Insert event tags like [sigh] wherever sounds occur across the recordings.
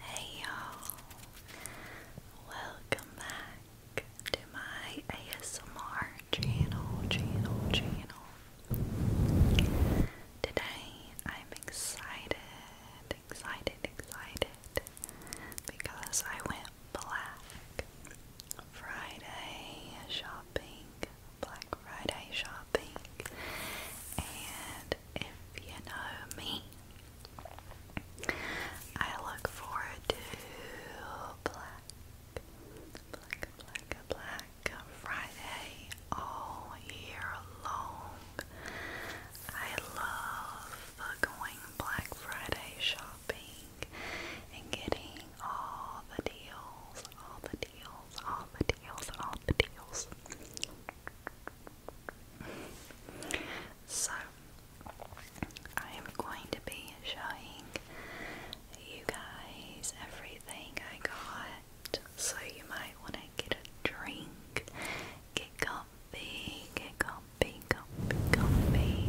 Hey y'all, welcome back to my ASMR channel, channel, channel. Today I'm excited, excited, excited because I went black Friday shopping, Black Friday shopping, and if you know me. I look forward to black, black, black, black Friday all year long. I love going Black Friday shopping and getting all the deals, all the deals, all the deals, all the deals so I am going to be showing you guys everything I got, so you might want to get a drink, get comfy, get comfy, comfy, comfy,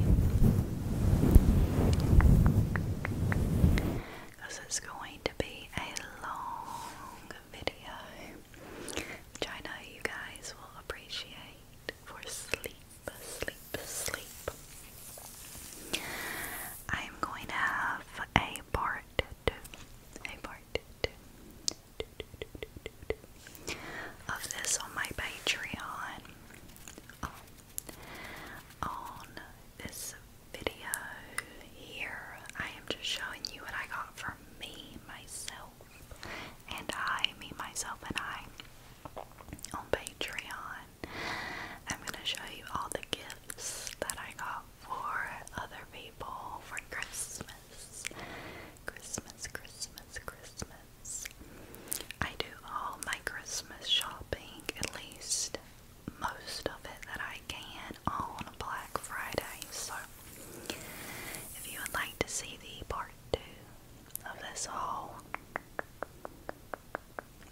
because it's going to be a long video, which I you guys will appreciate for sleep, sleep, sleep. I am going to have a part a part of this on my Patreon. Um, on this video here. I am just showing you what I got from me, myself, and I, me, myself, and I on Patreon. I'm going to show you all the gifts that I got for other people for Christmas. Christmas, Christmas, Christmas. I do all my Christmas shopping, at least most of it that I can on Black Friday. So, if you would like to see the part two of this haul,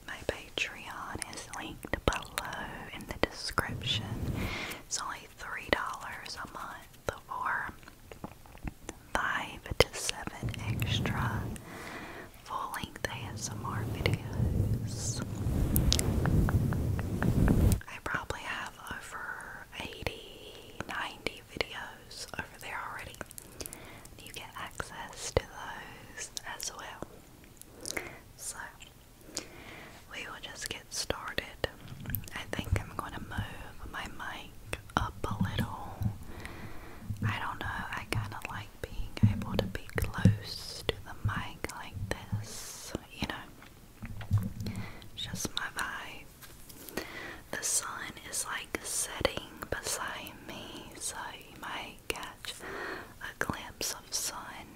my Patreon is linked below in the description. It's only three dollars a month for five to seven extra full length ASMR videos. I probably have over 80, videos over there already. You get access to those as well. So, we will just get started. I think I'm going to move my mic up a little. I don't know, I kind of like being able to be close to the mic like this, you know. Just my vibe. The sun is like setting beside me, so you might catch a glimpse of sun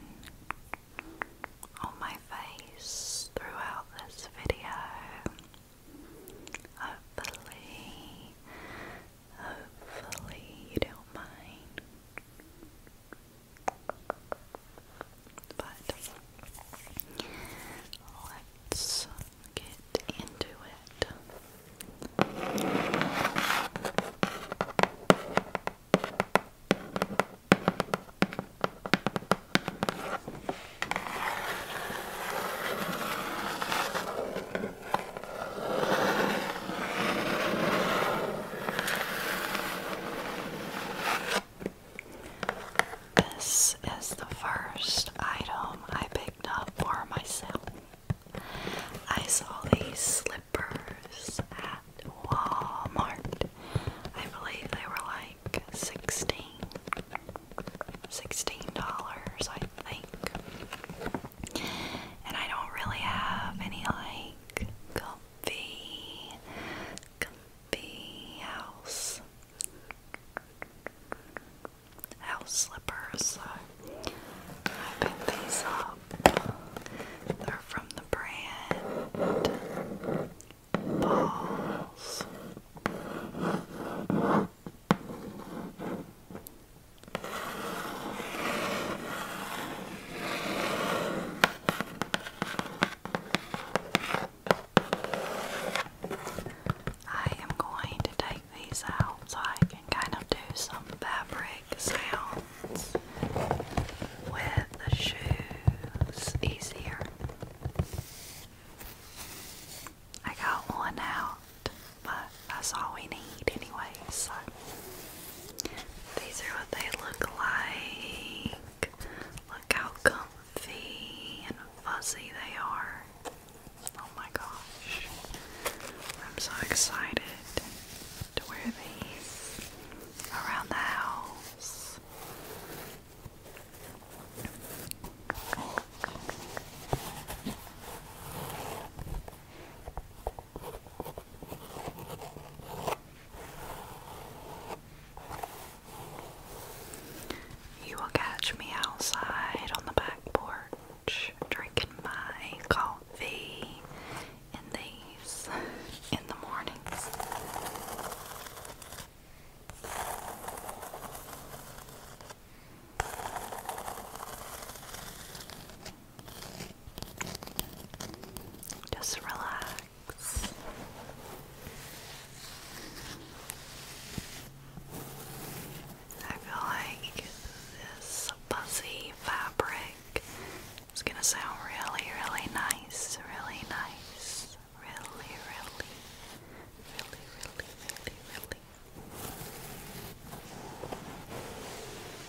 on my face throughout this video. Hopefully, hopefully you don't mind. But let's get into it. This is the first item I picked up for myself. I saw these slippers at Walmart. I believe they were like 16 $16, I think. And I don't really have any like the comfy house. House slippers. I picked these up. They're from the brand Balls. I am going to take these out so I can kind of do some fabric sounds with the shoes easier. I got one out, but that's all we need anyway, so these are what they look like. Look how comfy and fuzzy they are. Oh my gosh. I'm so excited to wear these around the house. You will catch me outside on the back porch drinking my coffee in these [laughs] in the mornings. Just relax box. I feel like this fuzzy fabric is gonna sound really, really nice, really nice, really, really, really, really, really.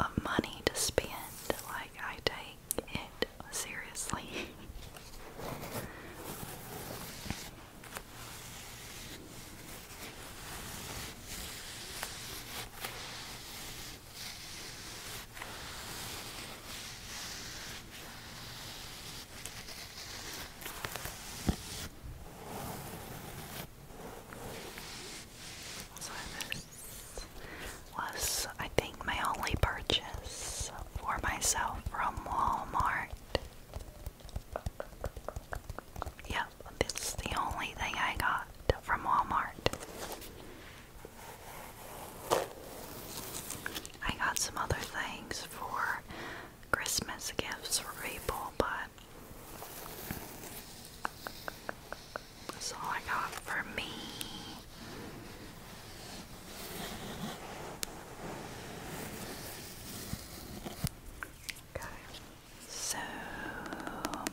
of money to spend. Like, I take it seriously. [laughs] was, I think, my only purchase for myself from Walmart. Yep, it's the only thing I got from Walmart. I got some other things for Christmas gifts for people, but that's all I got for me. So,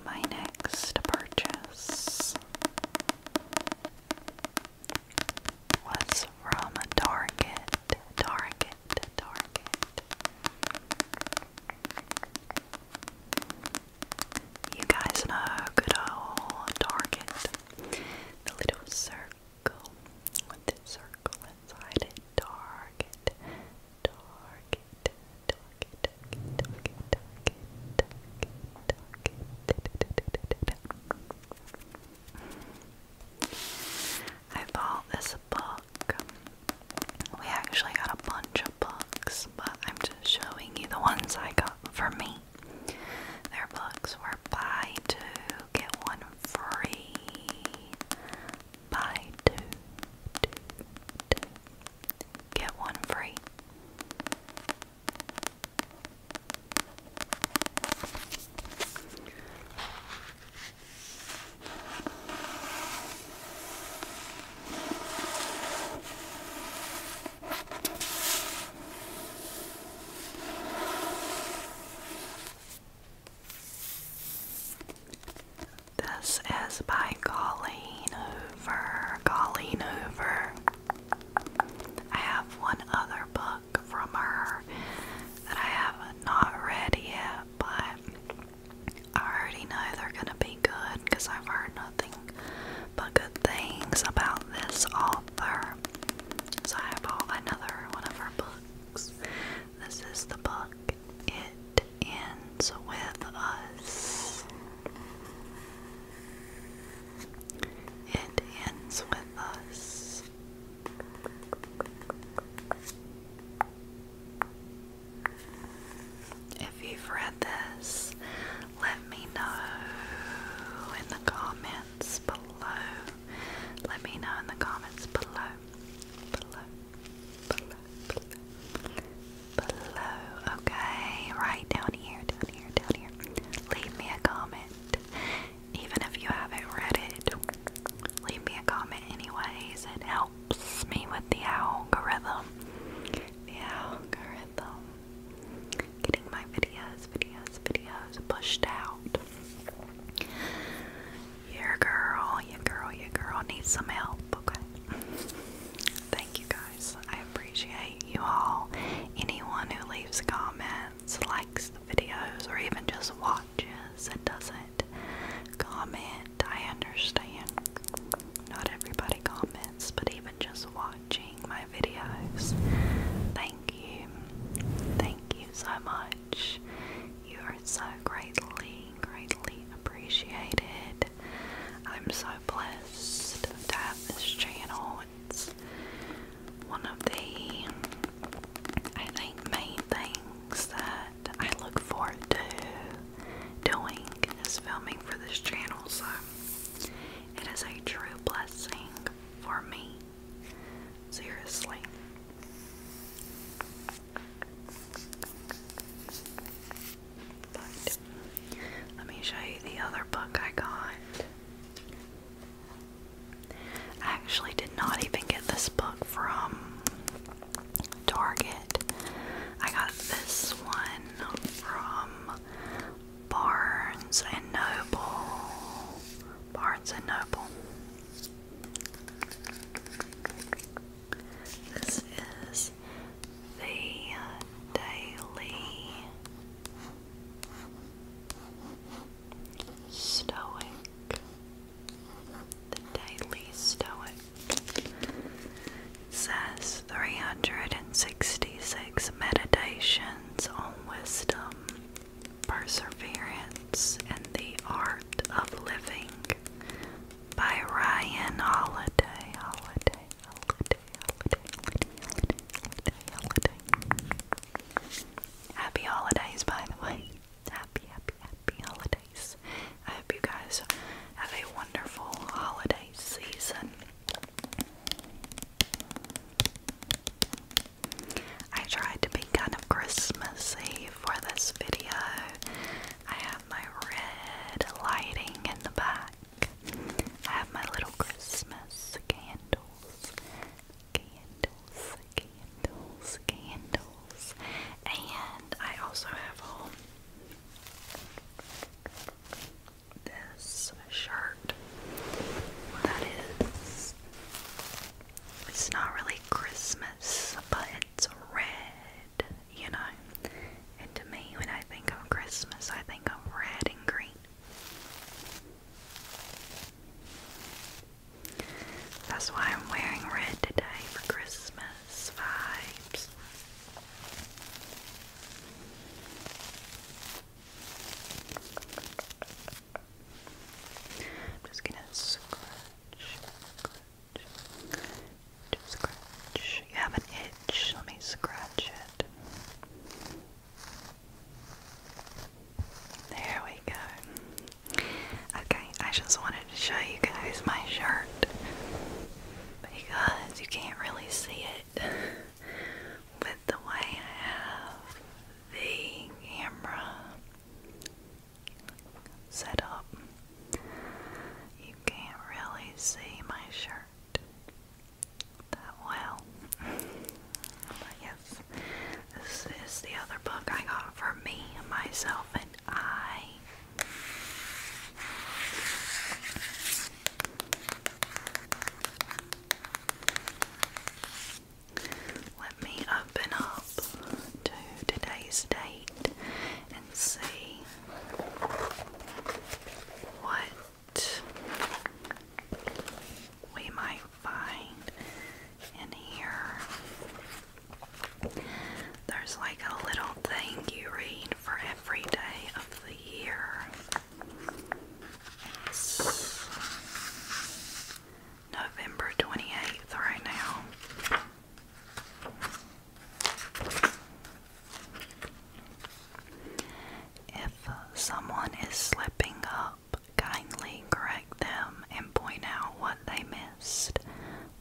my next purchase was from Target, Target, Target. You guys know good old Target. The little circle with the circle inside it. Target. Target. Target. Target. Target. Target. Target. Target. I bought this book. We actually got a bunch of books books, but I'm just showing you the ones I got for me. Their books were buy two, get one free. Buy two, two, two. Get one free. This is by Colleen Hoover. Colleen Hoover. I have one other book from her that I have not read yet, but I already know they're gonna be good because I've heard nothing but good things about this author. So I have bought another one of her books. This is the book. It ends with us. It ends with us. If you've read this, let me know in the comments below. Let me know in the comments below. Below. Below. Below. Below. Okay, right down here, down here, down here. Leave me a comment. Even if you haven't read it, leave me a comment anyways. It helps me with the algorithm. The algorithm. Getting my videos, videos, videos pushed out. Your girl, your girl, your girl needs some help, okay? Thank you guys. I appreciate you all. Anyone who leaves comments, likes the videos, or even just watches and doesn't comment, I understand. Not everybody comments, but even just watching my videos. Thank you. Thank you so much. You are so greatly, greatly appreciated. I'm so blessed to have this channel. It's one of the, I think, main things that I look forward to doing is filming for this channel, so it is a true blessing for me. Seriously. But let me show you the other book I got. I actually did not even get this book from Target. I got this one from Barnes and Noble. Barnes and Noble. This is the Daily Stoic. The Daily Stoic says 366 meditations on wisdom, perseverance, and the art of living by Ryan Holiday. Happy holidays, by the way. Happy, happy, happy holidays. I hope you guys have a wonderful holiday season. I tried to be kind of Christmassy for this video. I have my red lighting in the back. I have my little Christmas candles, candles, candles, candles, and I also have home this shirt that is it's not really Christmas but it's red, you know. And to me when I think of Christmas I think of red and green. That's why I'm wearing red today for Christmas vibes. I'm just gonna scratch, scratch, scratch. You have an itch, let me scratch it. There we go. Okay, I just wanted to show you guys my shirt because you can't really see it [laughs] with the way I have the camera set up. You can't really see my shirt that well. [laughs] but yes, this is the other book I got for me, myself, and I. Let me open up to today's date and see what we might find in here. There's like a little thing you read for every day of the year. November 28th, right now. If someone is slipping up, kindly correct them and point out what they missed.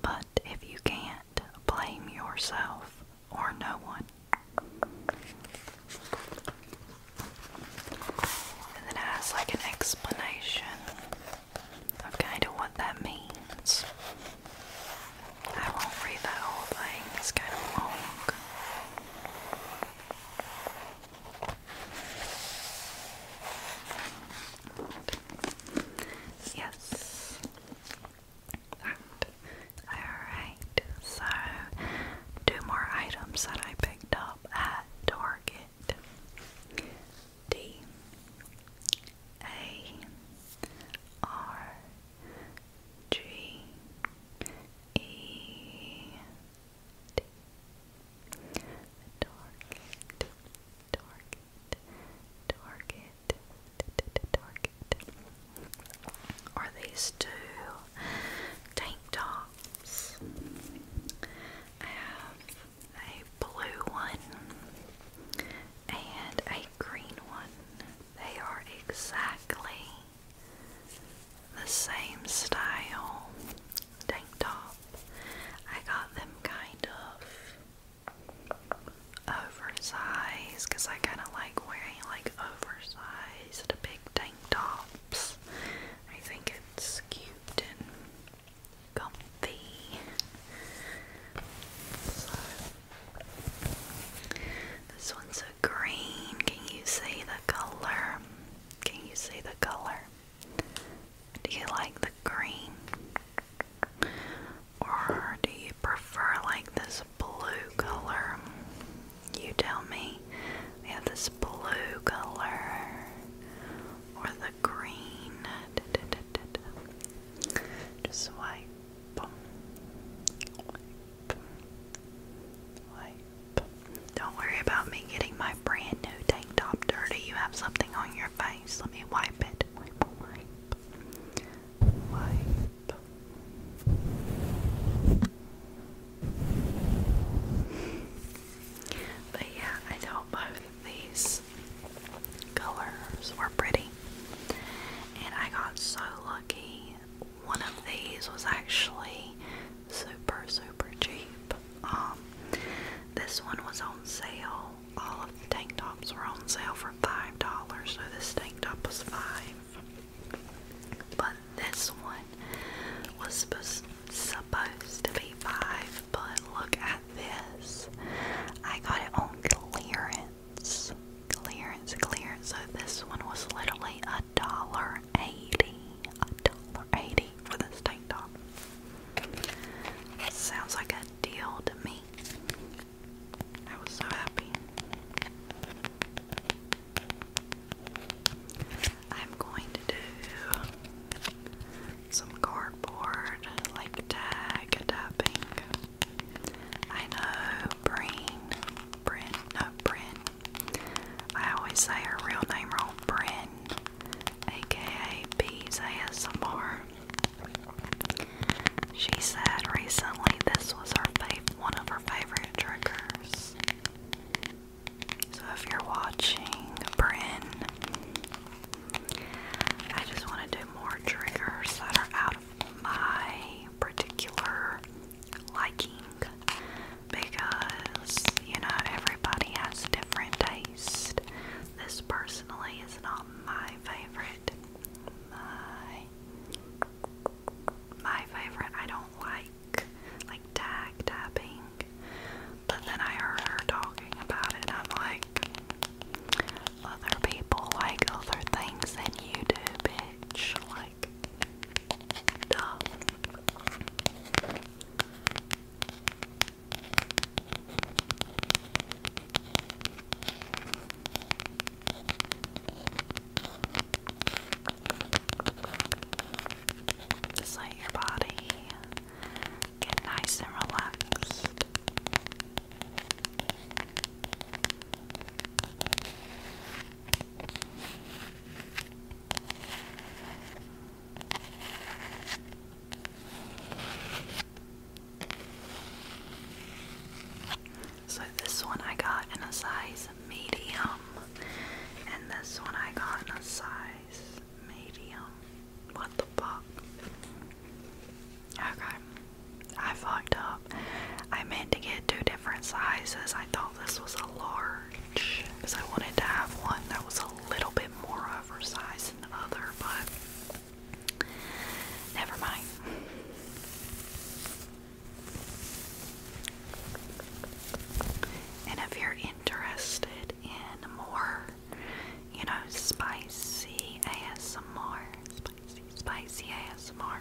But if you can't, blame yourself or no one. And then has like an explanation of kind of what that means. I won't read that whole thing, it's kind of long. Yes that. Alright, so two more items that I picked up at Target. D A R G E D Target Target Target are these two tank tops? I have a blue one and a green one. They are exactly the same style tank top. I got them kind of oversized because I kind of like wearing like oversized big tank tops. I think it's cute and comfy. this one's a green. Can you see the color? Can you see the color? Do you like the green? or do you prefer like this blue color? You tell me. We have this blue color or the green. Just wipe. Wipe. Don't worry about me getting my brand new tank top dirty. You have something on your face. Let me wipe it. But yeah, I thought both these colors were pretty. And I got so lucky. One of these was actually super, super cheap. Um, this one was on sale. All of tank tops were on sale for five dollars, so this tank top was five. But this one was supposed supposed to be five, but look at this. I got it on clearance. Clearance, clearance. So this one was literally a dollar eighty. A dollar eighty for this tank top. Sounds like a deal to me. I was so happy. I'm going to do some cardboard like tag tapping. I know Breen, Bryn, no Bryn. I always say her real name wrong, Bryn, aka Bees she said recently this was her fav one of her favorite triggers. So if you're watching, Bryn, I just want to do more triggers that are out of my particular liking because you know everybody has different taste. This personally is not my favorite. My my favorite, I don't like like tag tapping, but then I heard her talking about it. I'm like, other people like other things than you do, bitch. Like, duh. Just let your body get nice and relaxed. So this one I got in a size medium, and this one I got in a size medium. What the fuck? Okay, I fucked up. I meant to get two different sizes. I thought this was a large because I wanted to have one that was a little bit more oversized than the other, but Never mind. And if you're interested in more, you know, spicy ASMR, spicy, ASMR,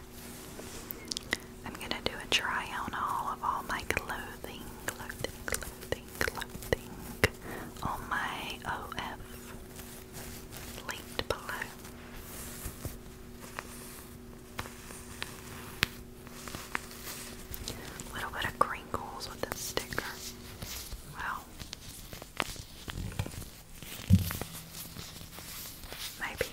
I'm gonna do a try on all of all my clothing, clothing, clothing, clothing, my OF linked below. little bit of crinkles with this sticker. Wow. Maybe.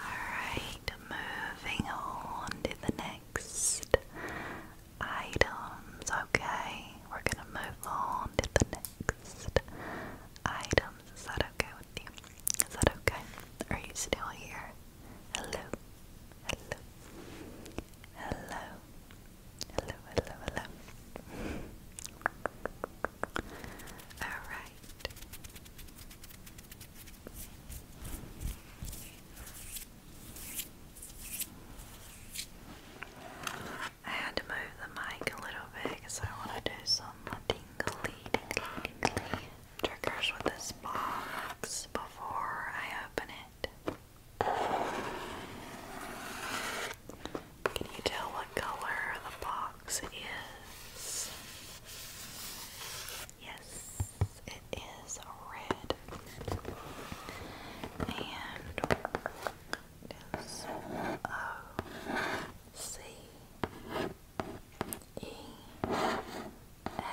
Alright, moving on to the next items. Okay, we're gonna move on to the next items. Is that okay with you? Is that okay? Are you still here? Hello, hello, hello, hello, hello, hello. All right. I had to move the mic a little bit because I want to do some tingly, tingly, tingly triggers with this box before I open it. Can you tell what color the box is? Yes, it is red. And it's O uh, C E A N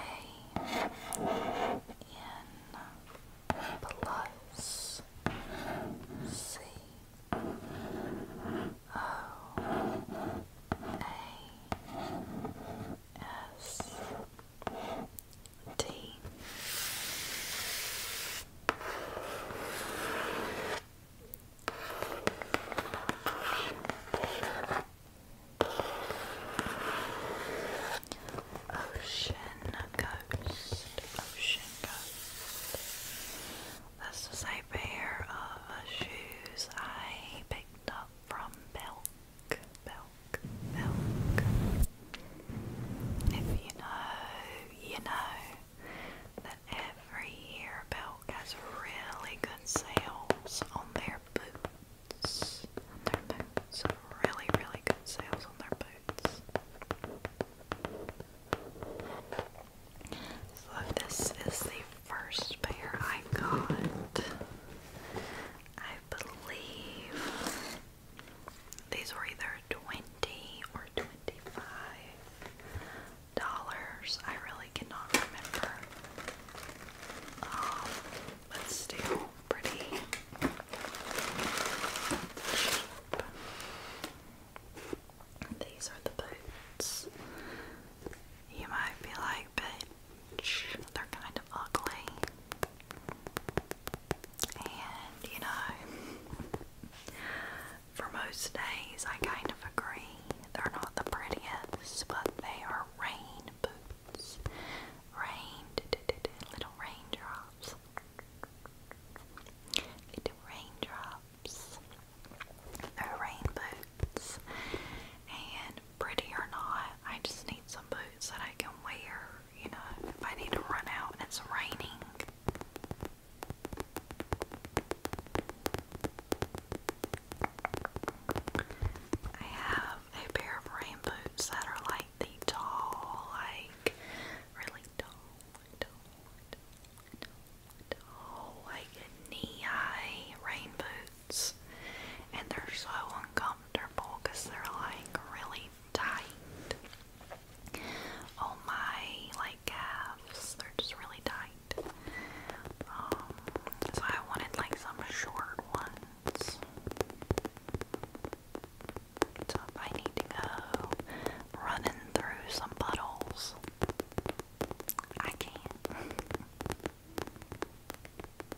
plus C O A S D Ocean Ghost, Ocean Ghost. This is a pair of shoes I picked up from Belk, Belk milk. If you know, you know that every year Belk has really good sales on their boots. their boots. Really, really good sales on their boots. So this is the first pair I got. I believe these were either twenty or twenty-five dollars. I really cannot remember. Um, but still pretty cheap. These are the boots. You might be like, bitch, they're kind of ugly. And you know, for most days I kind of agree. They're not the prettiest, but they are rain boots. Rain, little raindrops. Little raindrops. they rain boots. And pretty or not, I just need some boots that I can wear you know, if I need to run out it's raining. I have a pair of rain boots that are like the tall, like really tall, like knee-high rain boots, and they're so uncomfortable because they're like really tight. All oh, my like calves, they're just really tight. Um, so I wanted like some short ones. So I need to go running through some puddles, I can. [laughs]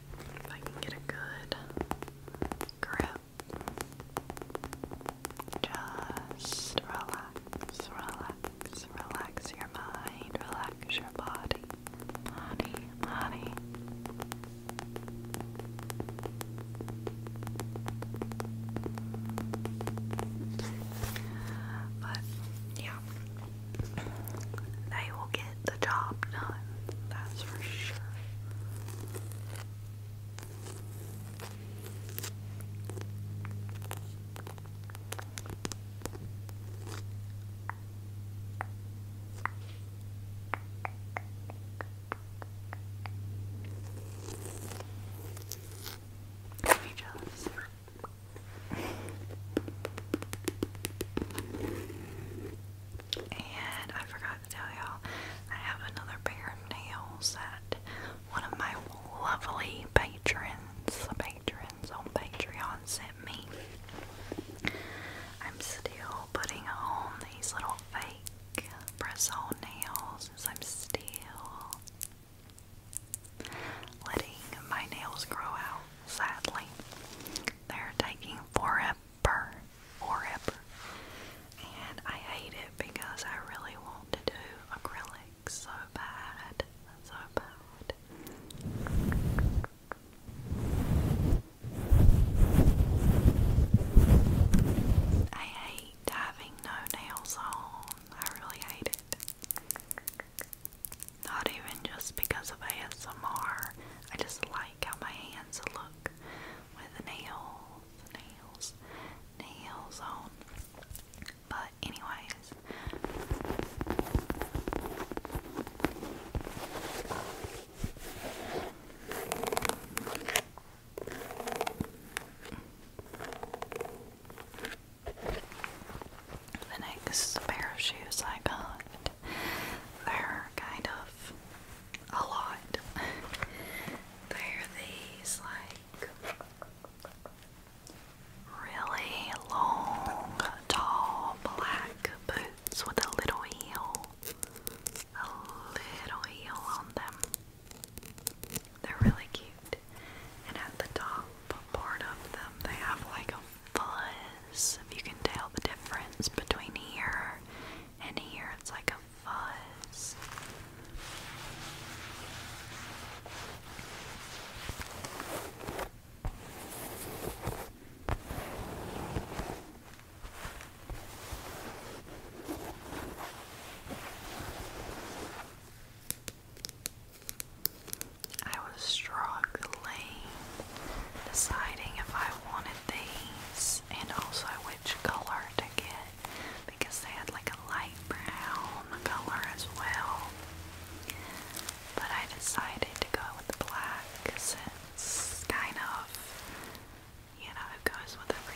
If I can get a good grip, just relax, relax, relax your mind, relax your body, body, body. But yeah, they will get the job done, that's for sure. Let me just and I forgot to tell y'all, I have another pair of nails that one of my lovely patrons, patrons on Patreon sent me. I'm still putting on these little fake press-on nails since I'm still letting my nails grow out, sadly. They're taking forever, forever. And I hate it because I really want to do acrylics so bad, so bad. I hate having no nails on. I really hate it. Not even just because of ASMR. I just like how my hands look with nails, nails, nails on. But anyways, the next pair of shoes I got they're kind of a lot. [laughs] they're these like really long, tall, black boots with a little heel. A little heel on them. They're really cute. And at the top part of them, they have like fuzz. If you can tell the difference between here and here, it's like a fuzz. I was struggling deciding if I wanted these and also which color to get because they had like a light brown color as well. But I decided to go with the black it's kind of, you know, it goes with everything.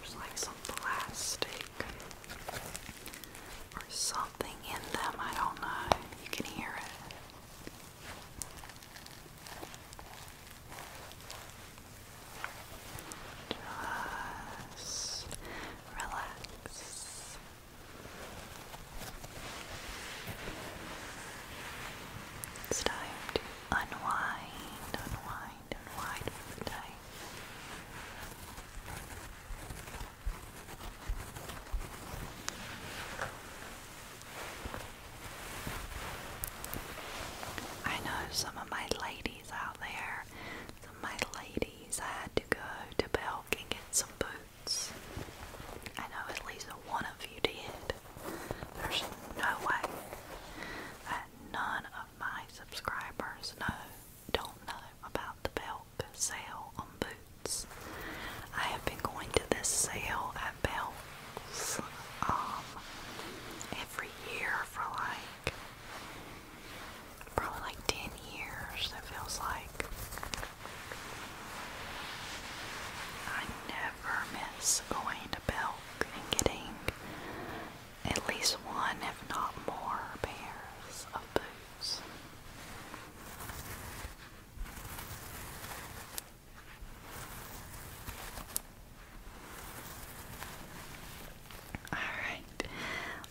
There's like some plastic or something in them, I don't know. You can hear it. Just relax. time to unwind, unwind, unwind for I know some of my ladies out there, some of my ladies had to go to Belk and get some boots. I know at least one of you did. There's no way that none of my subscribers know, don't know about the Belk sale on boots. I have been going to this sale at Bells um, every year for like probably like 10 years, it feels like. I never miss going to Belk and getting at least one, if not more, pairs of boots. Alright,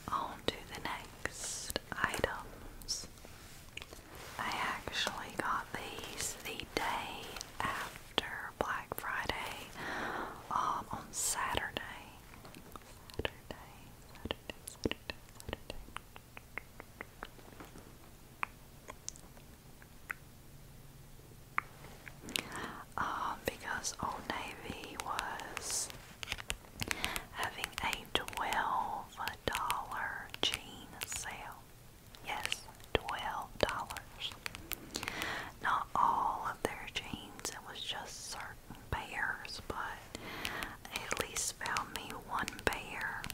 on the next items. I actually got these the day after Black Friday um, on Saturday. Um, because Old Navy was having a twelve dollar jean sale. Yes, twelve dollars. Not all of their jeans, it was just certain pairs, but at least found me one pair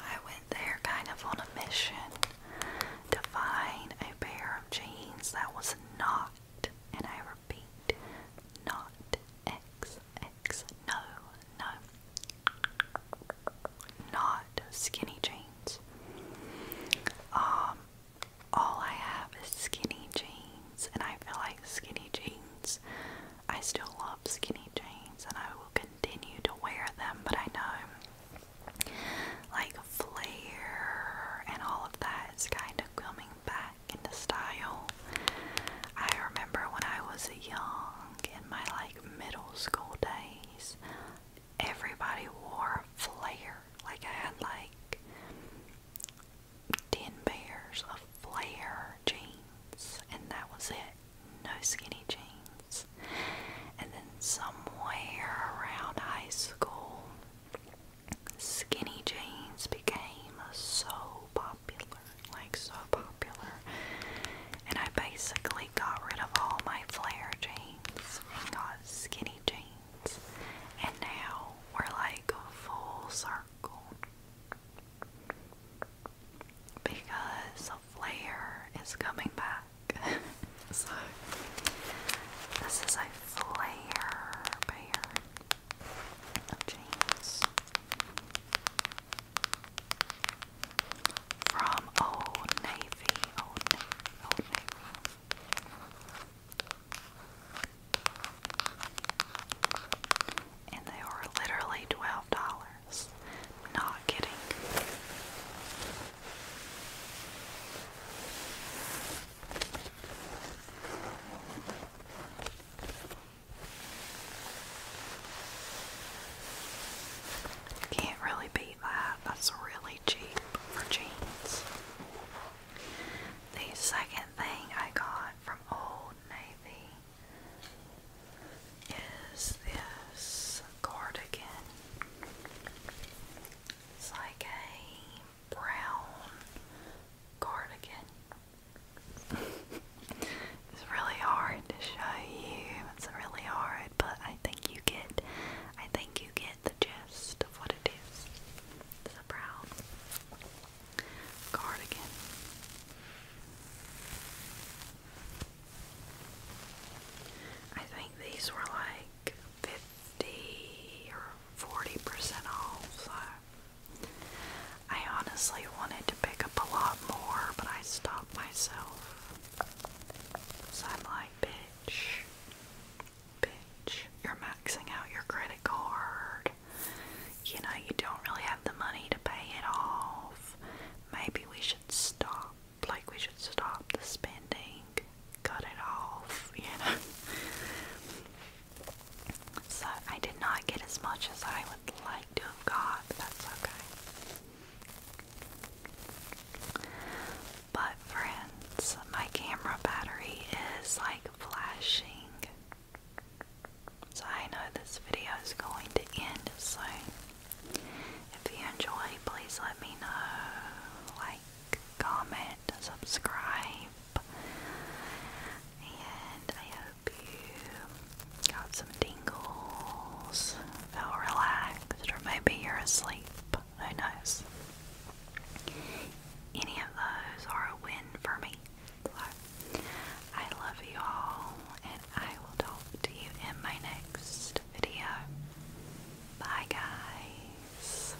I went there kind of on a mission to find a pair of jeans that was not, and I repeat, not XX. No, no. Not skinny jeans. Um, all I have is skinny jeans, and I feel like skinny jeans. I still love skinny jeans, and I will continue to wear them. But I know, like flare and all of that is kind of coming back into style. I remember when I was young in my like middle school days everybody wore a flare. Like I had like ten pairs of flare jeans, and that was it. No skinny jeans. And then somewhere around high school, skinny jeans became so popular, like so popular. And I basically got rid of all my flare jeans jeans. got skinny jeans. And now we're like full circle. Because Flair is coming back. [laughs] so this is a Flair pair of jeans from Old Navy. Old Navy. Old Navy. And they were literally twelve dollars. Not kidding. Can't really beat that's really cheap for jeans. The second thing I got from Old Navy is this cardigan. It's like a brown cardigan. [laughs] it's really hard to show you. It's really hard but I think you get I think you get the gist of what it is. It's brown cardigan. I think these were like fifty or forty percent off, so I honestly wanted to pick up a lot more, but I stopped myself. because I'm like, bitch bitch. Bitch. You're maxing out your credit card. You know, you don't really have the money to pay it off. Maybe we should stop. Like, we should stop the spending. Cut it off, you know. so, I did not get as much as I would like to have got, but that's okay. But, friends, my camera battery is like flashing. So, I know this video is going to end soon. If you enjoy, please let me know. Like, comment, subscribe. And I hope you got some tingles, felt relaxed, or maybe you're asleep who knows? Any of those are a win for me. I love you all, and I will talk to you in my next video. Bye, guys.